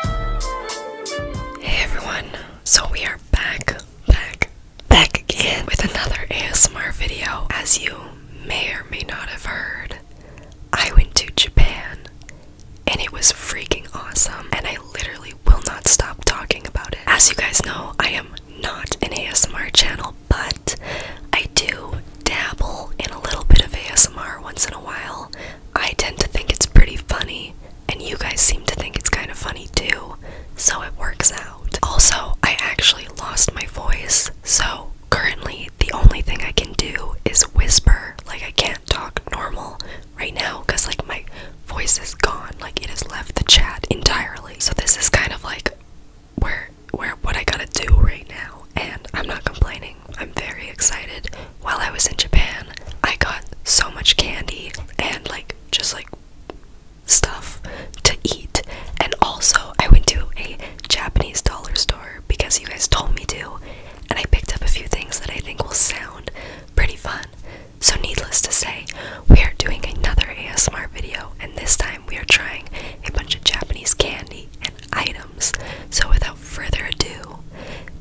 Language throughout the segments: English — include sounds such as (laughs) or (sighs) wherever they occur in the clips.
Hey everyone, so we are back, back, back again with another ASMR video. As you may or may not have heard, I went to Japan and it was freaking awesome, and I literally will not stop talking about it. As you guys know, I am not an ASMR channel, but I do dabble in a little bit of ASMR once in a while. I tend to think it's pretty funny, and you guys seem to think it's kind of funny too, so it works out. Also, I actually lost my voice, so currently the only thing I can do is whisper. Like, I can't talk normal right now because, like, my voice is gone. Like, it has left the chat entirely. So, this is kind of like where where what I gotta do right now, and I'm not complaining. I'm very excited. While I was in Japan, I got so much candy and like just like stuff to eat. And also, I went to a Japanese dollar store because you guys told me to, and I picked up a few things that I think will sound pretty fun. So, needless to say, we are doing another ASMR video, and this time we are trying a bunch of Japanese candy and items. So, without further ado,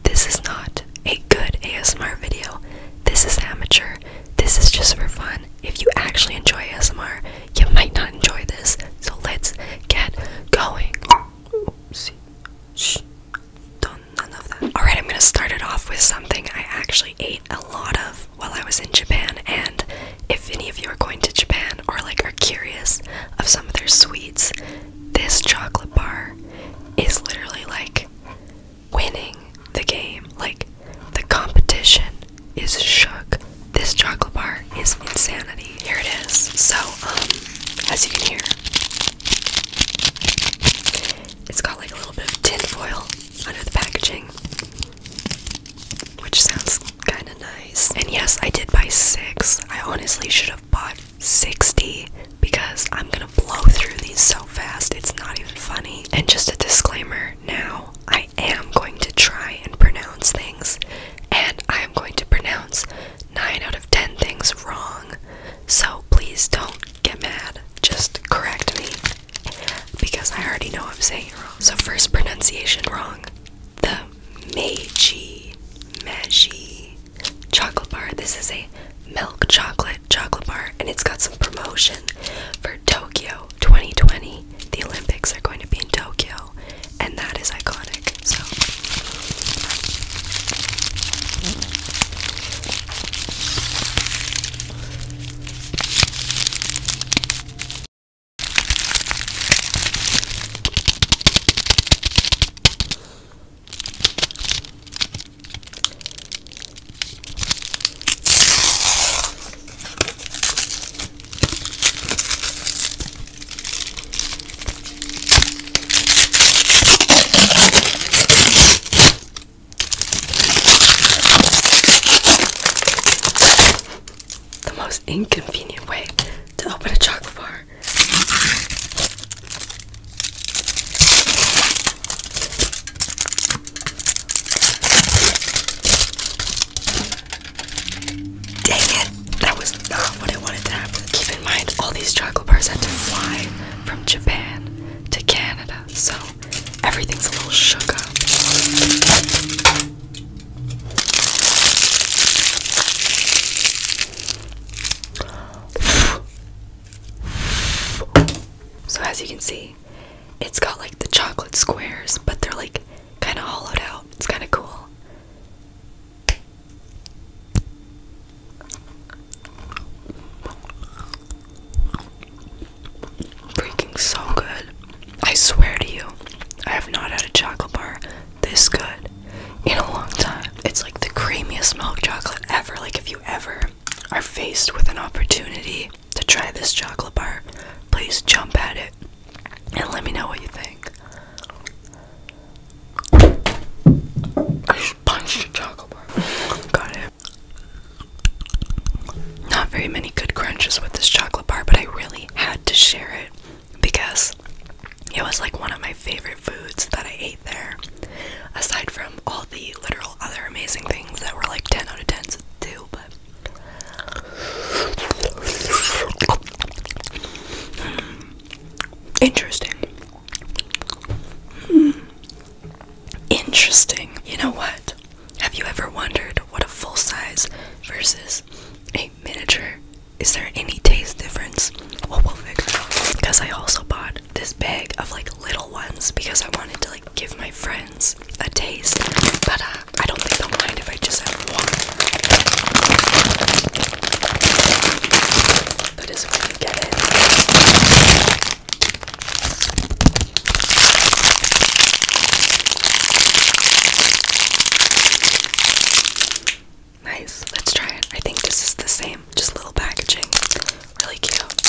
this is not a good ASMR video. This is amateur. This is just for fun. If you actually enjoy ASMR, you might not enjoy this. So, let's get going. Oopsie. Shh. Alright, I'm gonna start it off with something I actually ate a lot of while I was in Japan. And if any of you are going to Japan or like are curious of some of their sweets, this chocolate bar is literally like winning the game. Like the competition is shook. This chocolate bar is insanity. Here it is. So, um, as you can hear, it's got like a little bit of tin foil under the packaging, which sounds kind of nice. And yes, I did buy six. I honestly should have bought 60 because I'm gonna blow through these so fast it's not even funny. And just a disclaimer now, I am going to try and pronounce things, and I am going to pronounce 9 out of 10 things wrong. So please don't get mad, just correct me because I already know I'm saying wrong. So, first pronunciation wrong the Meiji, Meiji, chocolate bar. This is a milk chocolate chocolate bar, and it's got some promotion for Tokyo 2020. The Olympics are going to be in Tokyo, and that is iconic. So, the most inconvenient way to open a chocolate bar. Dang it! That was not what I wanted to happen. Keep in mind, all these chocolate bars had to fly from Japan to Canada, so everything's a little shook up. So as you can see, it's got like the chocolate squares, but they're like kind of hollowed out. It's kind of cool. Freaking so good. I swear to you, I have not had a chocolate bar this good in a long time. It's like the creamiest milk chocolate ever. Like, if you ever are faced with an opportunity to try this chocolate bar, please jump at it and let me know what you think. I just chocolate bar. Got it. Not very many good crunches with this chocolate bar, but I really had to share it because it was like one of my favorite foods that I ate there. Aside from all the literal other amazing things that were like 10 out of ten too, but hmm. interesting. Hmm. Interesting. You know what? Have you ever wondered what a full size versus a miniature is there any taste difference? Well, we'll figure it out. Because I also bought this bag of like little ones because I wanted to like give my friends a taste. But uh, I don't think they'll mind if I just have one. That is if you get it. Nice. Let's try it. I think this is the same, just little packaging. Really cute.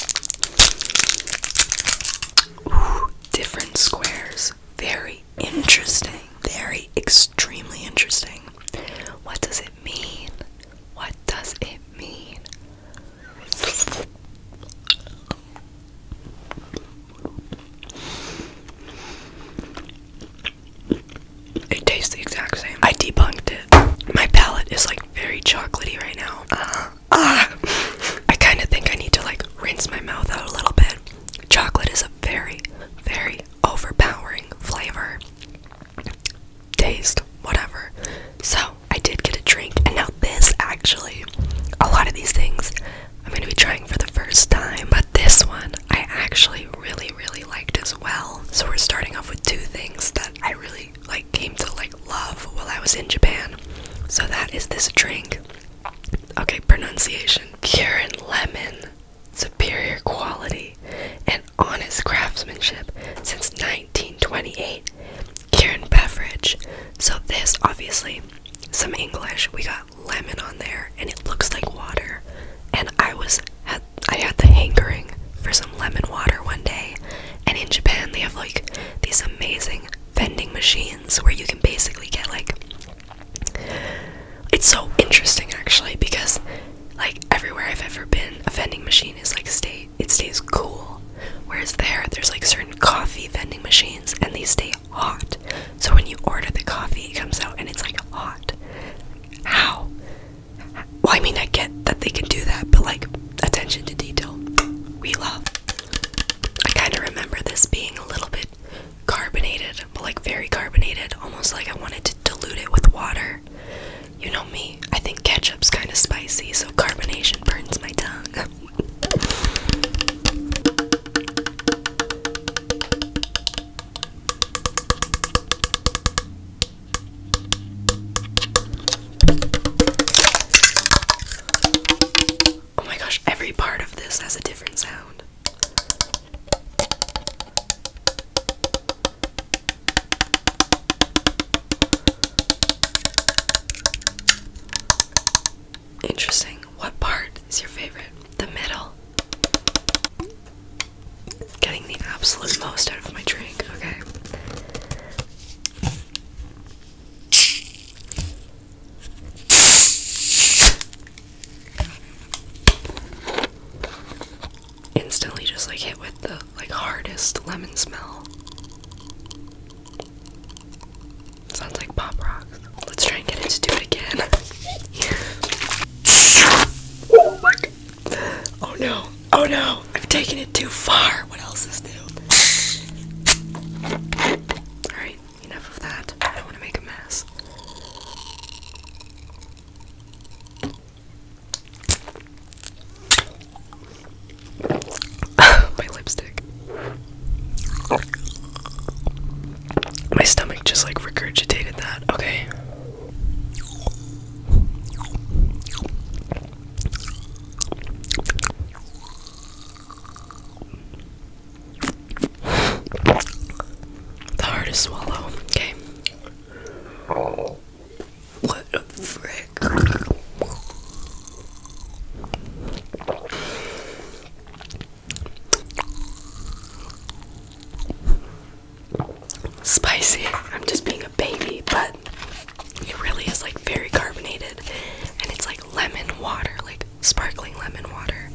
Ooh, different squares. Very interesting. Very extremely interesting. What does it mean? What does it mean? It tastes the exact same. I debunked it. My palate is like very chocolatey right now. Uh, uh, I kind of think I need to like rinse my mouth out a little bit. Chocolate is a very, very overpowering flavor. Taste, whatever. So I did get a drink, and now this actually, a lot of these things I'm gonna be trying for the first time. But this one I actually really, really liked as well. So we're starting off with two things that I really like came to like love while I was in Japan. So that is this drink. Okay, pronunciation. Curin lemon. Superior quality and honest craftsmanship since 1928. Kieran Beverage. So this obviously some English. We got lemon on there and it looks like water and I was I had the hankering for some lemon water one day and in Japan they have like these amazing vending machines where you can basically get like it's so interesting actually because like everywhere I've ever been a vending machine is like stay it stays cool whereas there there's like certain coffee vending machines and they stay hot so when you order the coffee it comes out and it's like hot how? Well, I mean, I get that they can do that, but like, attention to detail, we love. I kind of remember this being a little bit carbonated, but like very carbonated, almost like I wanted to dilute it with water. You know me, I think ketchup's kind of spicy, so carbonation burns my tongue. Oh my gosh, every part of this has a different sound. Interesting. What part is your favorite? the middle. Getting the absolute most out of my drink, okay. Instantly just like hit with the like hardest lemon smell. Sounds like pop rocks. Let's try and get it to do it again. oh my god. Oh no. Oh no. I've taken it too far. What else is new? Alright, enough of that. I don't want to make a mess. (laughs) My lipstick. My stomach just like regurgitated that. Okay. the hardest swallow. Okay. What a frick. Spicy. I'm just being a baby, but it really is like very carbonated and it's like lemon water, like sparkling lemon water.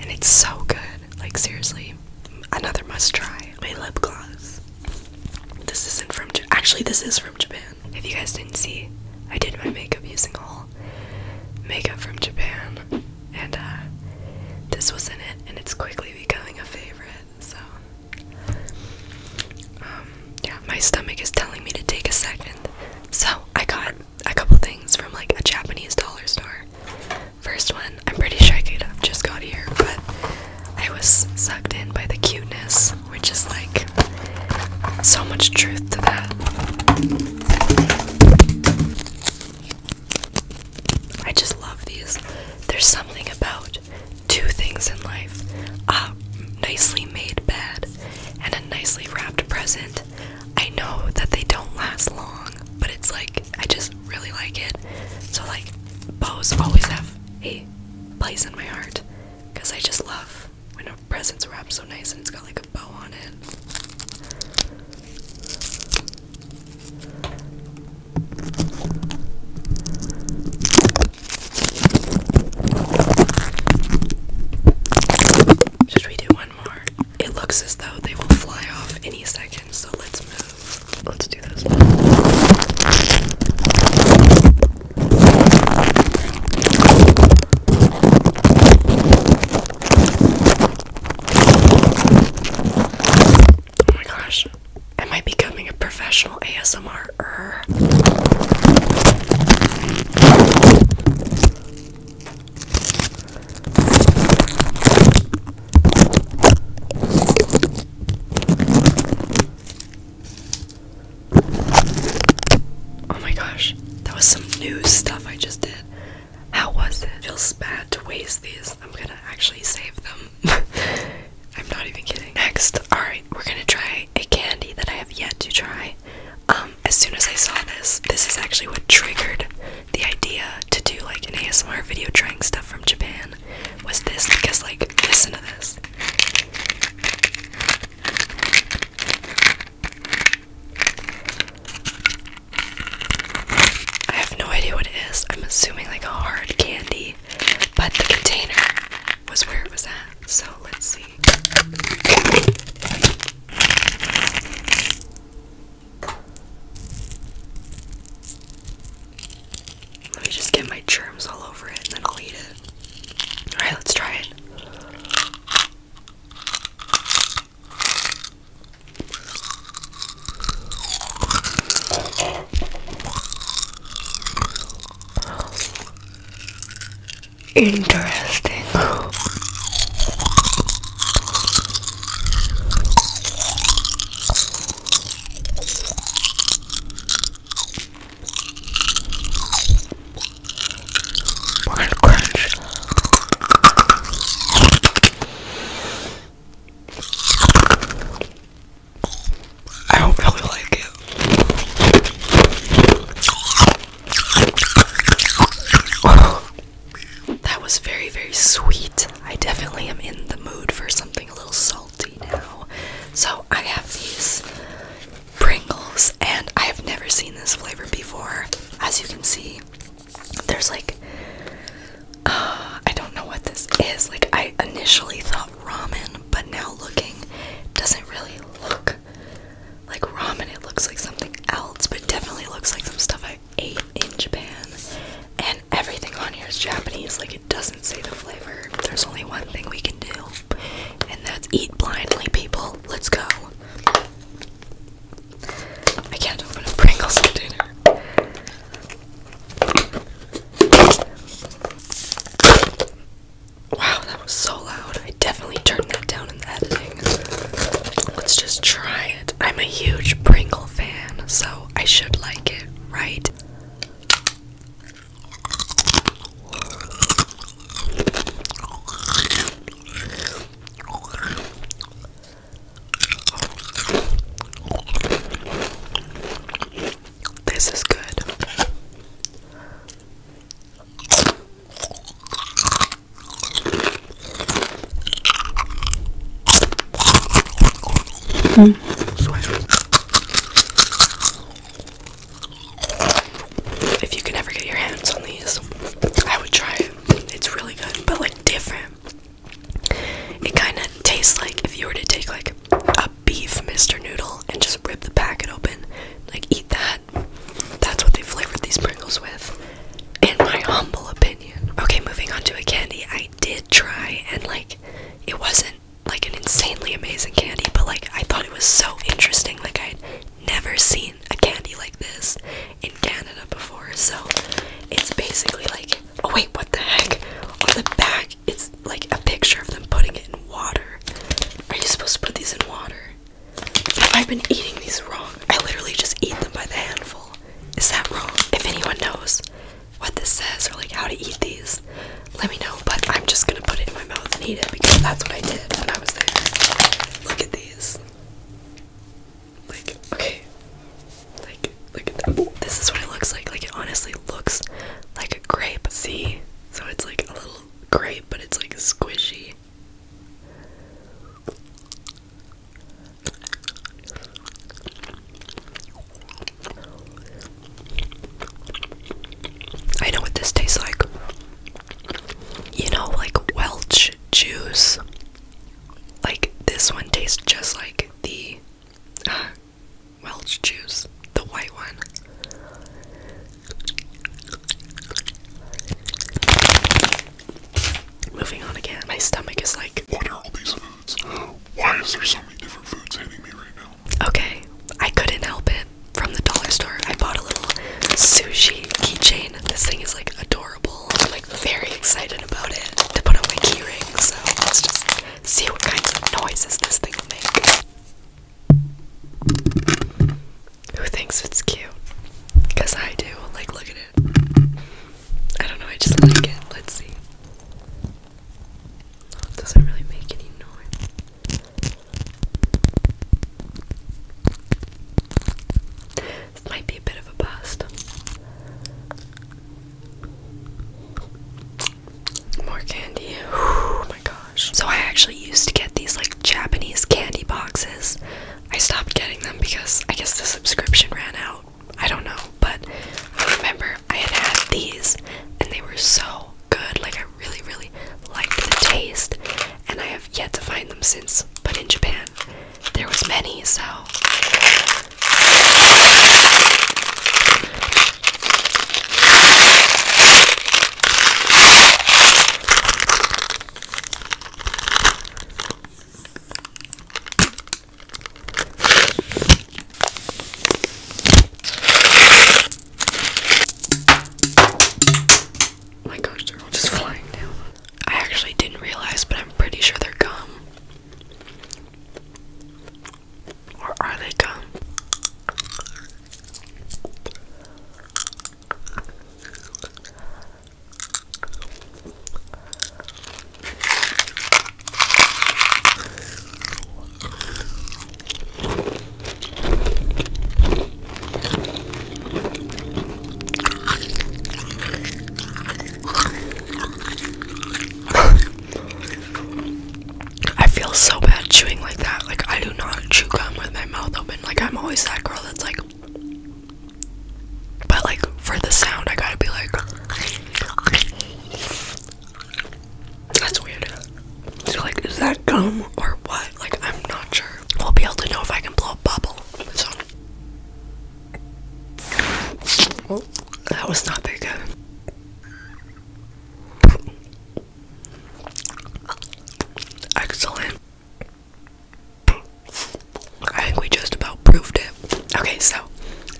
And it's so good. Like, seriously, another must try. My lip gloss. This isn't from Japan. Actually, this is from Japan. If you guys didn't see, I did my makeup using all makeup from Japan and uh, this was in it, and it's quickly becoming a favorite. So, um, yeah, my stomach is telling me to take a second. So I got a couple things from like a Japanese dollar store. First one, I'm pretty sure I could have just got here, but I was sucked in by the cuteness, which is like so much truth to that. I just love these. There's something about two things in life a nicely made bed and a nicely wrapped present. I know that they don't last long, but it's like I just really like it. So, like, bows always have a place in my heart because I just love when a present's wrapped so nice and it's got like a bow on it. Should we do one more? It looks as though they will fly off any second, so let's move. Let's do this. Oh my gosh. Am I becoming a professional ASMR? Oh my gosh, that was some new stuff I just did. How was it? Feels bad to waste these. I'm gonna actually save them. (laughs) I'm not even kidding. Next, alright, we're gonna try a candy that I have yet to try. Um, as soon as I saw this, this is actually what triggered the idea to do like an ASMR video trying stuff from Japan. Was this because like listen to this. I have no idea what it is. I'm assuming like a hard candy, but the container was where it was at. So let's see. Let me just get my germs all over it and then I'll eat it. Alright, let's try it. Interesting. One crunch. I don't really like it. that was very, very sweet. I definitely am in the mood for something a little salty now. So I have these Pringles, and I have never seen this flavor before. As you can see, there's like, uh, I don't know what this is. Like, I initially thought ramen, but now looking, doesn't really look like ramen. It looks like something else, but definitely looks like some stuff I ate in Japan. And everything on here is Japanese. Like, it doesn't say the flavor. There's only one thing we can do, and that's eat blindly, people. Let's go. I can't open a Pringles container. Wow, that was so loud. I definitely turned that down in the editing. Let's just try it. I'm a huge Pringle fan, so I should like it, right? This is good. Mm. If you can ever get your hands on these, I would try it. It's really good, but like different. It kind of tastes like if you were to take like a beef Mr. Noodle and just rip the packet open, like eat that. That's what they flavored these Pringles with, in my humble opinion. Okay, moving on to a candy I did try, and like it wasn't like an insanely amazing candy, but like I thought it was so interesting. Like I'd never seen a candy like this in Canada before, so it's basically like oh wait, what the heck? On the back, it's like a picture of them putting it in water. Are you supposed to put these in water? Have I been eating these wrong? I literally just eat them by the handful. Is that wrong? If anyone knows what this says or like how to eat these, let me know. But I'm just gonna put it in my mouth and eat it because that's what I did when I was there. Look at these. Like, okay. Like, like this is what it looks like. Like, it honestly looks like a grape. See? So it's like a little grape, but it's like squishy. I know what this tastes like. You know, like Welch juice. Like, this one tastes just like the uh, (sighs) Welch juice, the white one. Moving on again, my stomach is like, What are all these foods? Why is there so many different foods hitting me right now? Okay, I couldn't help it. From the dollar store, I bought a little sushi keychain. This thing is like adorable. I'm like very excited about it to put on my keyring, so let's just see what kinds of noises this thing will make. Who thinks it's cute? Because I do. Like, look at it. I don't know, I just like it. Let's see. doesn't really make any noise. This might be a bit of a bust. More candy. Oh my gosh. So I actually used to get these like Japanese candy boxes. I stopped getting them because I guess the subscription ran out. I don't know, but I remember I had had these and they were so good. Like I really, really liked the taste, and I have yet to find them since, but in Japan there was many, so Oh my gosh, they're all just flying down I actually didn't realize, but I'm pretty sure they're gum. Or are they gum? I feel so bad chewing like that. Like, I do not chew gum with my mouth open. Like, I'm always that girl that's like. But, like, for the sound, I gotta be like. That's weird. like, is that gum or what? Like, I'm not sure. We'll be able to know if I can blow a bubble. So, well, oh, that was not very good. Excellent. I think we just about proved it. Okay, so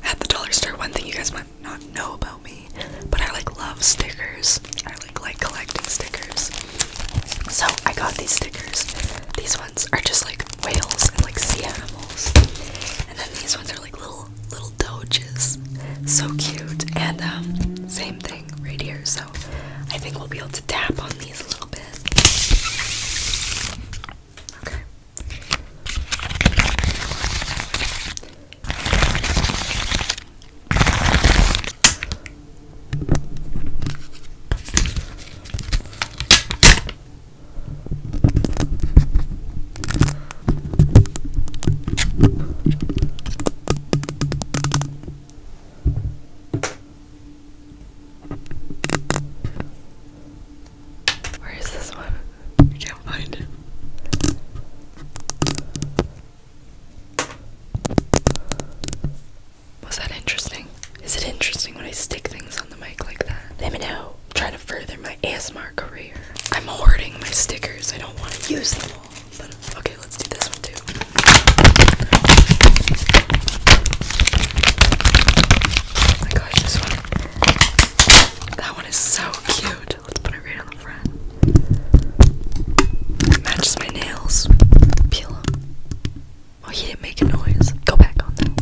at the dollar store, one thing you guys might not know about me, but I like love stickers. I like like collecting stickers. So I got these stickers. These ones are just like whales and like sea animals. And then these ones are like little little doges. So cute. And um same thing right here. So I think we'll be able to tap on these a little bit. Okay. Where is this one? I can't find it. Was that interesting? Is it interesting when I stick things on the mic like that? Let me know. I'm trying to further my ASMR career. I'm hoarding my stickers. I don't want to use them all. But okay, let's do this one too. Oh my gosh, this one. That one is so cute. Let's put it right on the front. matches my nails. Peel Oh, he didn't make a noise. Go back on them.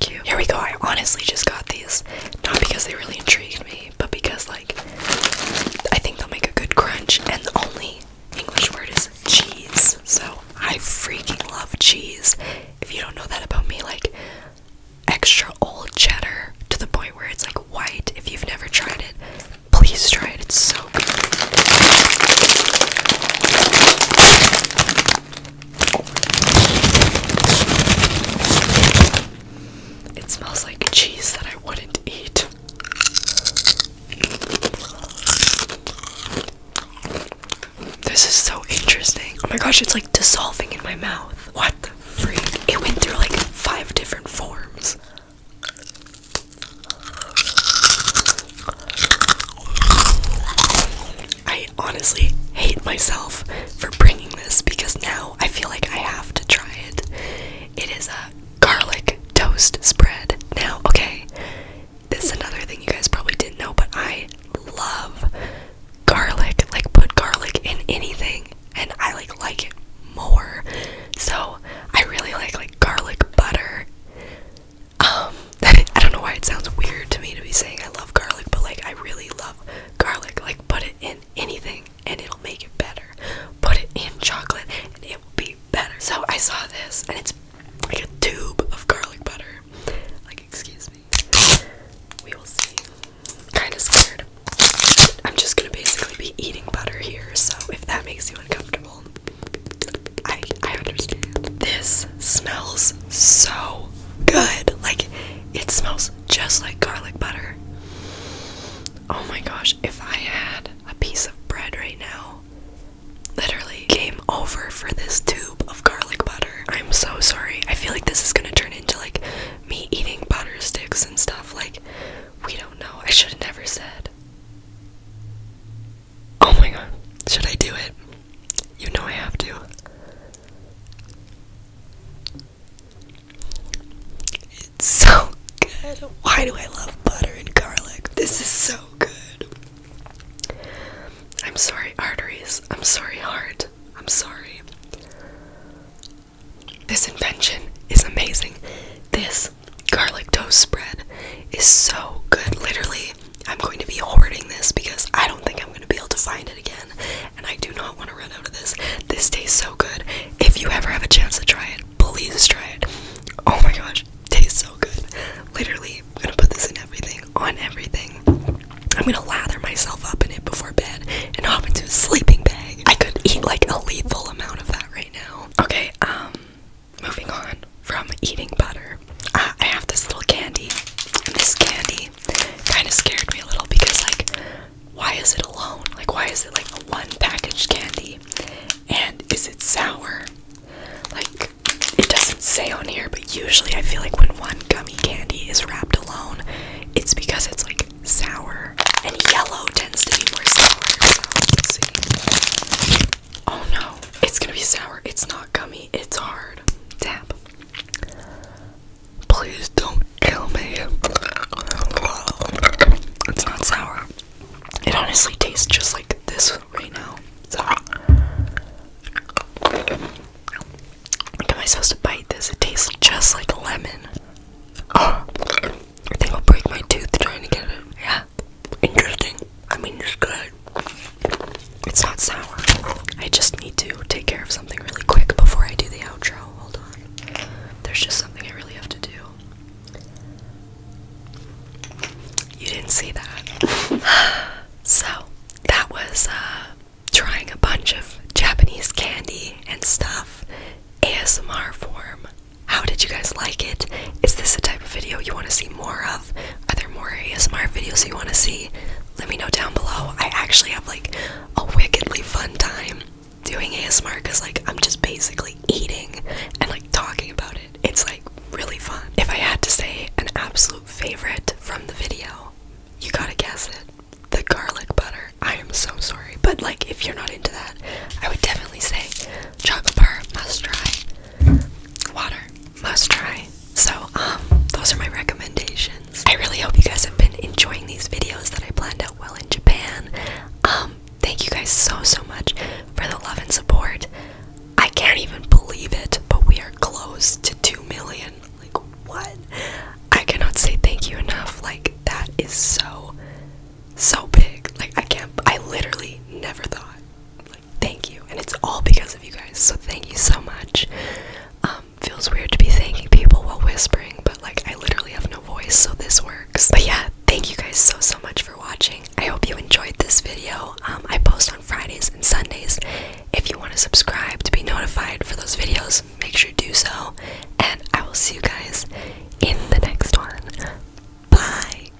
Cute. Here we go. I honestly just got these. Not because they really intrigued me, but because, like, I think they'll make a good crunch. And the only English word is cheese. So I freaking love cheese. If you don't know that about me, like, extra old cheddar to the point where it's like white. If you've never tried it, please try it. It's so It smells like cheese that I wouldn't eat. This is so interesting. Oh my gosh, it's like dissolving in my mouth. What? It went through like five different forms. I honestly hate myself for bringing this because now I feel like I have to try it. It is a garlic toast spread. Now, okay, this is another thing you guys probably didn't know, but I love garlic. Like, put garlic in anything and I like like it more. So I really like like garlic butter. Um (laughs) I don't know why it sounds weird to me to be saying I love garlic, but like I really love garlic. Like put it in anything and it'll make it better. Put it in chocolate and it will be better. So I saw this and it's like a tube of garlic butter. Like excuse me. We will see kind of scared. I'm just gonna basically be eating butter here, so if that makes you uncomfortable, I I understand. This smells so good. Like it smells just like garlic butter. Oh my gosh, if I had a piece of bread right now, literally game over for this tube of garlic butter. I'm so sorry. I feel like this is gonna turn into like me eating butter sticks and stuff. Like, we don't know. I should have never said. Oh my god. Should I do it? You know I have to. It's so good. Why do I love butter and garlic? This is so good. I'm sorry, arteries. I'm sorry, heart. I'm sorry. This invention is amazing. This garlic toast spread is so good. Literally, I'm going to be hoarding this because I don't think I'm going to be able to find it again. And I do not want to run out of this. This tastes so good. If you ever have a chance to try it, please try it. Oh my gosh, tastes so good. Literally, I'm going to put this in everything, on everything. I'm going to lather myself up in it before bed and hop into a sleeping bag. I could eat like a lethal amount of that right now. Okay, um, moving on from eating butter. Ah, I have this little candy, this candy kind of scared me a little because, like, why is it alone? Like, why is it like a one packaged candy? And is it sour? Like, it doesn't say on here, but usually I feel like when one gummy candy is wrapped alone, it's because it's like sour, and yellow tends to be more sour. So Oh no, it's gonna be sour. It's not gummy. It's hard. Tap. Please don't kill me. It's not sour. It honestly tastes just like this right now. So, like, am I supposed to bite this? It tastes just like lemon. I think I'll break my tooth trying to get it. Yeah, interesting. I mean, it's good. It's not sour. I just need to take care of something really quick before I do the outro. Hold on. There's just something I really have to do. You didn't see that. (sighs) so, that was uh, trying a bunch of Japanese candy and stuff ASMR form. How did you guys like it? Is this the type of video you want to see more of? Are there more ASMR videos you want to see? Let me know down below. I actually have like a wickedly fun time doing ASMR because like I'm just basically eating and like talking about it. It's like really fun. If I had to say an absolute favorite from the video, you gotta guess it the garlic butter. I am so sorry, but like if you're not into that, I would definitely say chocolate bar must try. Water must try. So, um, those are my recommendations. I really hope you guys have been enjoying these videos that I planned out well in Japan. Um, thank you guys so so much for the love and support. I can't even believe it, but we are close to 2 million like, what? I cannot say thank you enough. Like, that is so, so big. Like, I can't, I literally never thought, like, thank you. And it's all because of you guys. So, thank you so much. Um, feels weird to be thanking people while whispering, but like, I literally have no voice, so this works. But yeah, thank you guys so, so much for watching. I hope you enjoyed this video. Um, I post on Fridays and Sundays. If you want to subscribe to be notified for those videos, make sure to do so. And I will see you guys in the next one. Bye.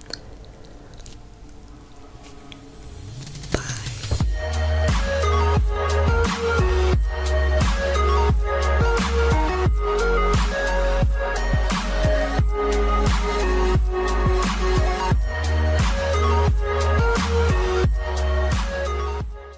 Bye.